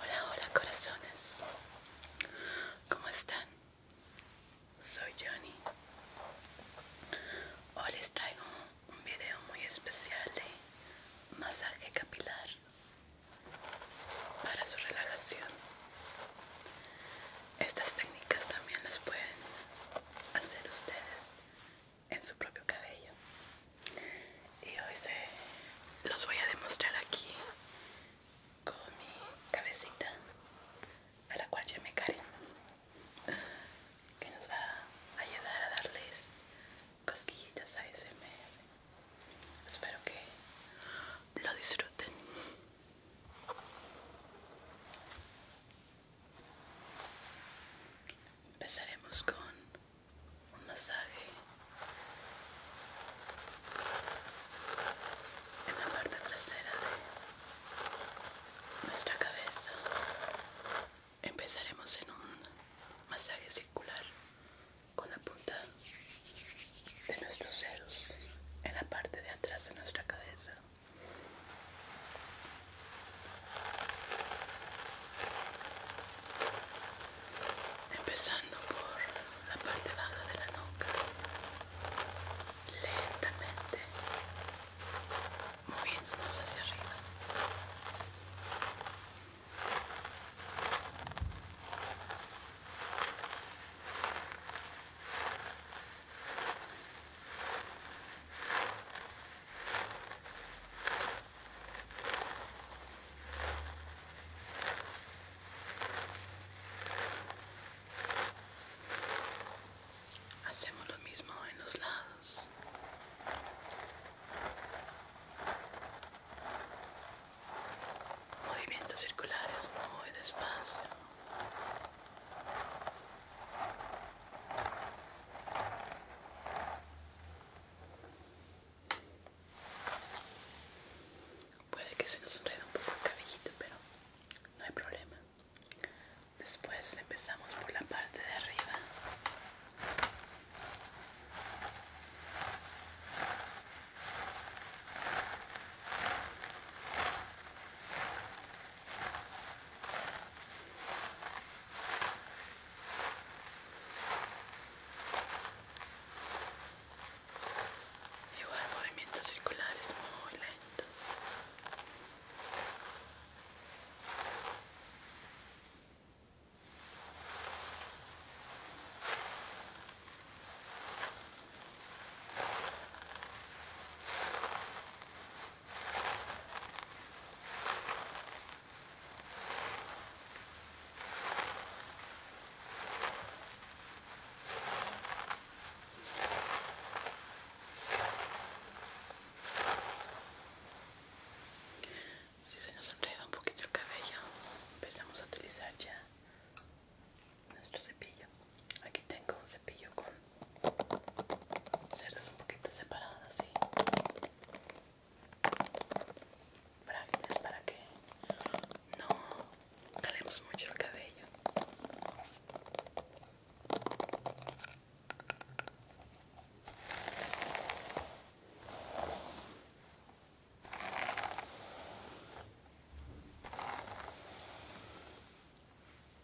Hola, hola corazones. ¿Cómo están? Soy Johnny. Hoy les traigo un video muy especial de masaje capilar para su relajación. Estas técnicas también las pueden hacer ustedes en su propio cabello y hoy se los voy a demostrar aquí con mi cabecita a la cual yo me caré que nos va a ayudar a darles cosquillitas a ASMR espero que lo disfruten Empezaremos con un masaje en la parte trasera de nuestra cabeza. Empezaremos en un masaje circular con la punta de nuestros dedos en la parte de atrás de nuestra cabeza empezando por la parte baja de la nuca lentamente moviéndonos hacia arriba Hacemos lo mismo en los lados. Movimientos circulares muy despacio. Puede que se nos enrede un poco el cabellito, pero no hay problema. Después empezamos por la parte de arriba. Igual movimientos circulares muy lentos. Si se nos enreda un poquito el cabello, empezamos a utilizar ya nuestro cepillo. Aquí tengo un cepillo con cerdas un poquito separadas así frágiles para que no calemos mucho el cabello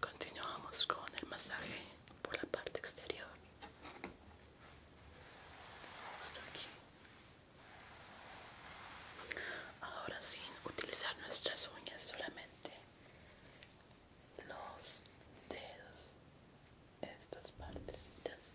Continuamos con el masaje por la parte exterior. Ahora sin utilizar nuestras uñas, solamente los dedos, estas partecitas.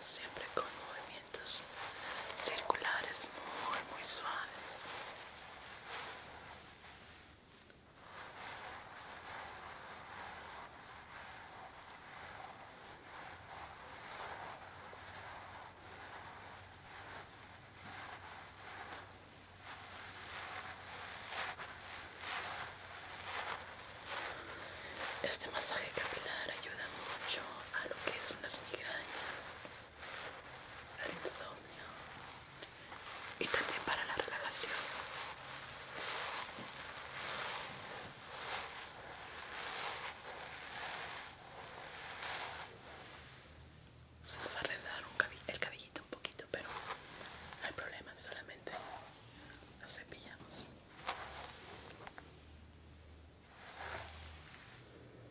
siempre con movimientos circulares muy muy suaves este masaje capilar ayuda mucho a lo que son las migrañas el insomnio y también para la relajación. Vamos a arrendar el cabellito un poquito, pero no hay problema, solamente nos cepillamos.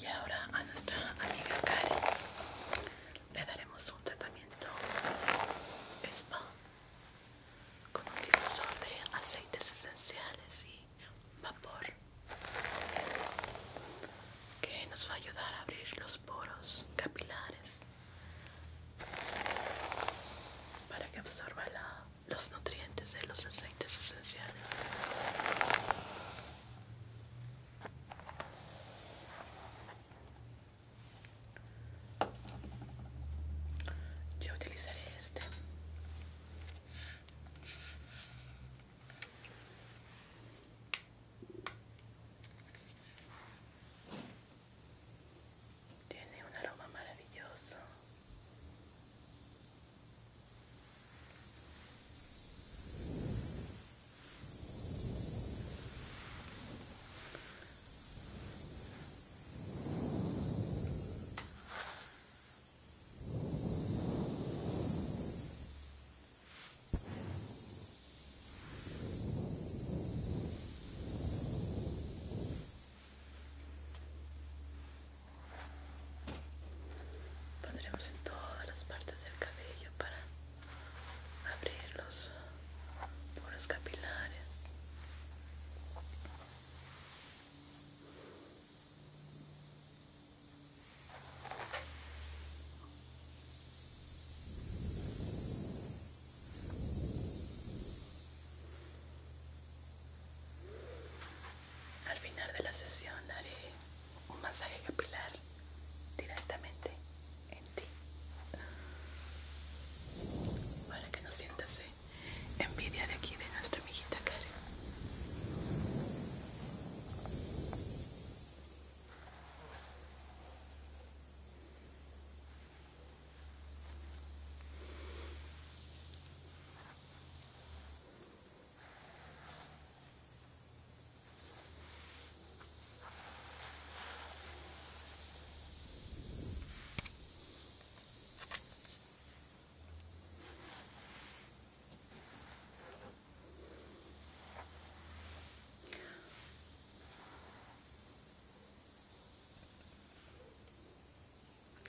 Y ahora a nuestra amiga Karen le daremos un tratamiento spa con un difusor de aceites esenciales y vapor que nos va a ayudar a abrir los poros capilares para que absorba los nutrientes de los aceites esenciales. Yo utilizaré este tiene un aroma maravilloso. Pondremos en todas las partes del cabello para abrir los poros capilares. Al final de la sesión haré un masaje capilar directamente en ti para que no sientas envidia de aquí de nuestra amiguita Karen.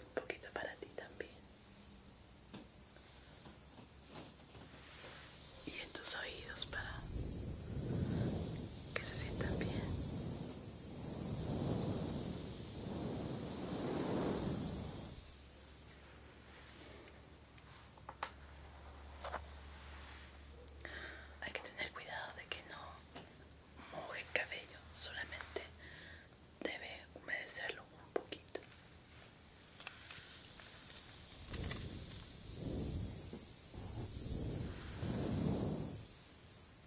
Un poquito para ti también. Y en tus oídos para que se sientan bien. Hay que tener cuidado de que no moje el cabello, solamente debe humedecerlo un poquito.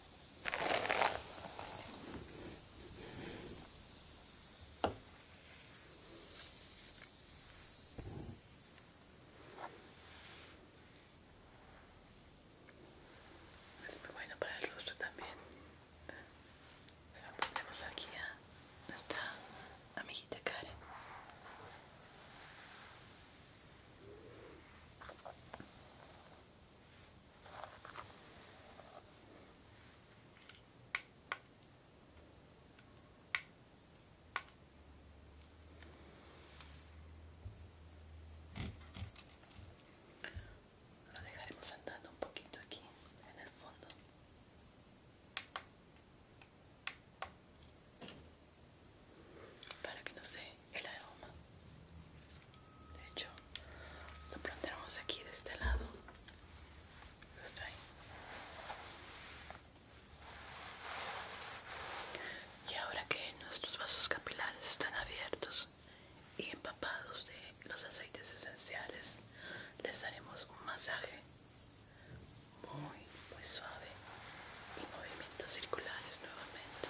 Es muy bueno para el rostro también. Se ponemos aquí a nuestra amiguita Karen. Lo dejaremos andando un poquito aquí en el fondo para que no se el aroma. De hecho, lo plantaremos aquí de este lado. Y ahora que nuestros vasos capilares están abiertos y empapados de los aceites esenciales, les haremos un masaje muy, muy suave y movimientos circulares nuevamente.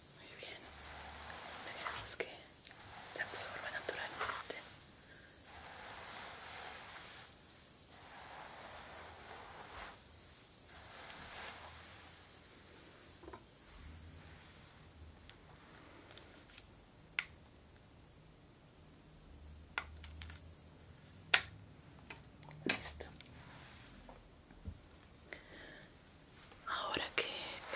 Muy bien. Veamos que se absorba naturalmente. Listo. Ahora que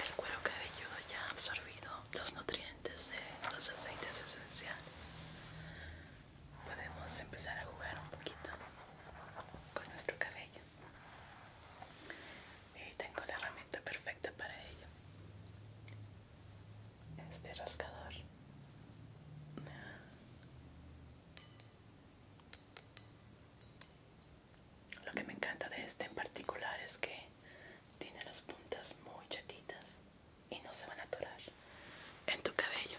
el cuero cabelludo ya ha absorbido los nutrientes de los aceites esenciales, podemos empezar a jugar un poquito con nuestro cabello. Y tengo la herramienta perfecta para ello. Este rascador. Lo que me encanta de este en particular es que tiene las puntas muy chatitas y no se van a atorar en tu cabello.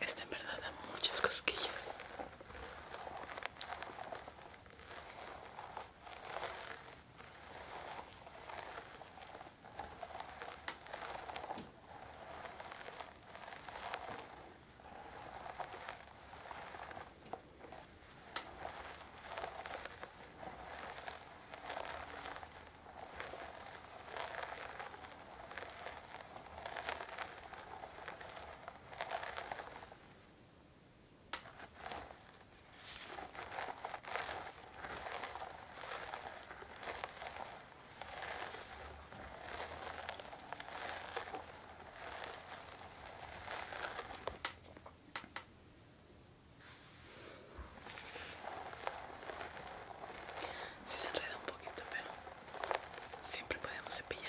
Esta en verdad muchas cosquillas. Si se enreda un poquito, pero Siempre podemos cepillarlo.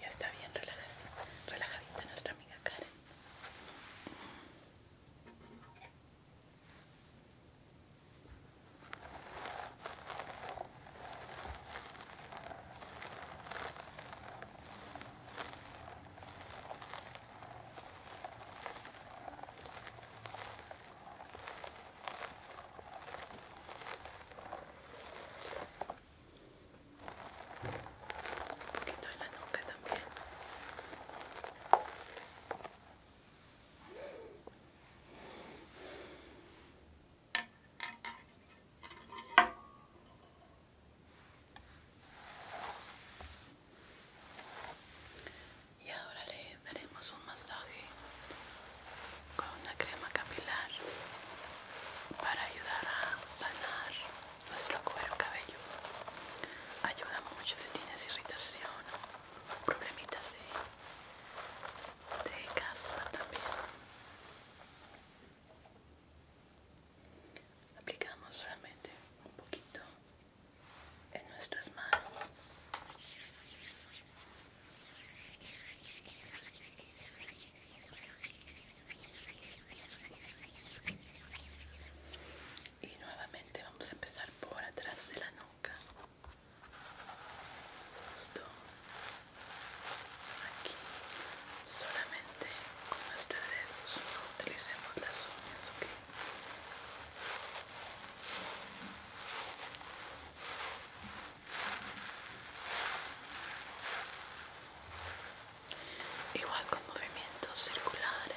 Ya está bien, relajadita nuestra amiga Karen. Un poquito en la nuca también. Y ahora le daremos un masaje con una crema capilar para ayudar a sanar nuestro cuero cabello Ayuda mucho si tienes irritación o problemitas de, de caspa también. Aplicamos solamente un poquito en nuestras manos y nuevamente vamos a empezar por atrás de la nuca. Justo aquí. Solamente con nuestros dedos. No utilicemos las uñas, ¿ok? igual con movimientos circulares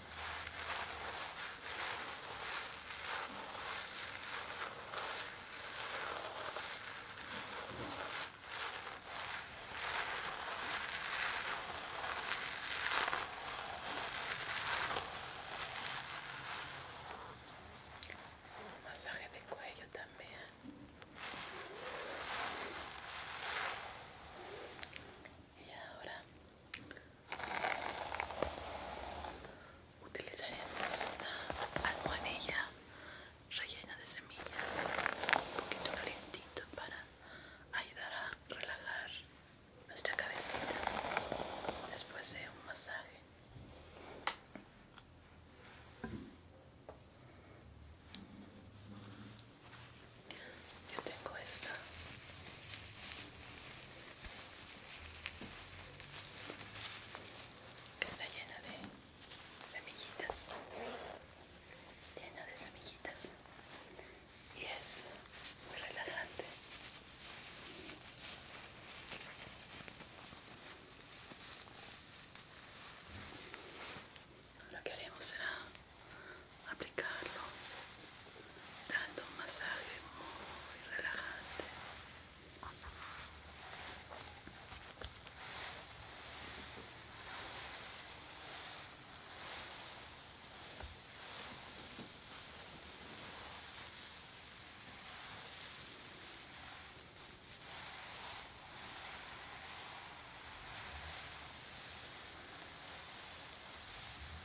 masaje de cuello también. Y ahora Utilizaremos una almohadilla rellena de semillas, un poquito calientito para ayudar a relajar nuestra cabecita después de un masaje yo tengo esta que está llena de semillitas llena de semillitas y es muy relajante lo que haremos será aplicarlo dando un masaje muy relajante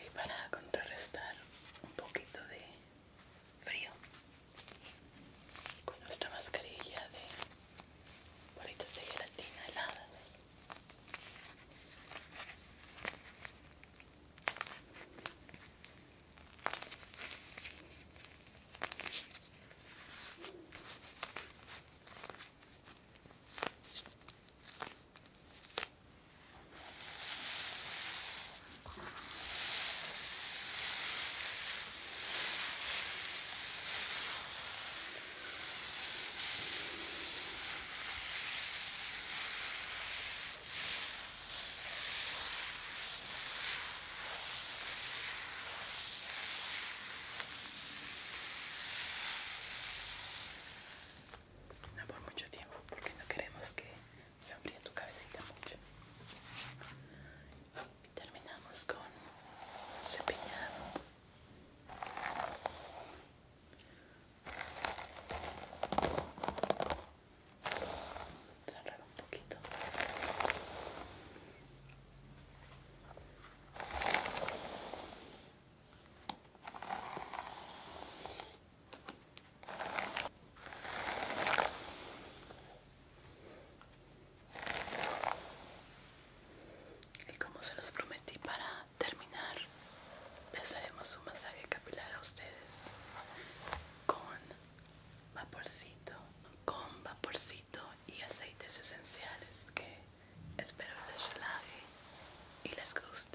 Y para contrarrestar un poquito de frío con nuestra mascarilla de bolitas de gelatina heladas no por mucho tiempo, porque no queremos que se enfría tu cabecita mucho. Terminamos con un cepillado. Cerrar un poquito. Y como se los prometí para terminar, empezaremos un masaje capilar a ustedes con vaporcito, con vaporcito y aceites esenciales que espero les relaje y les guste.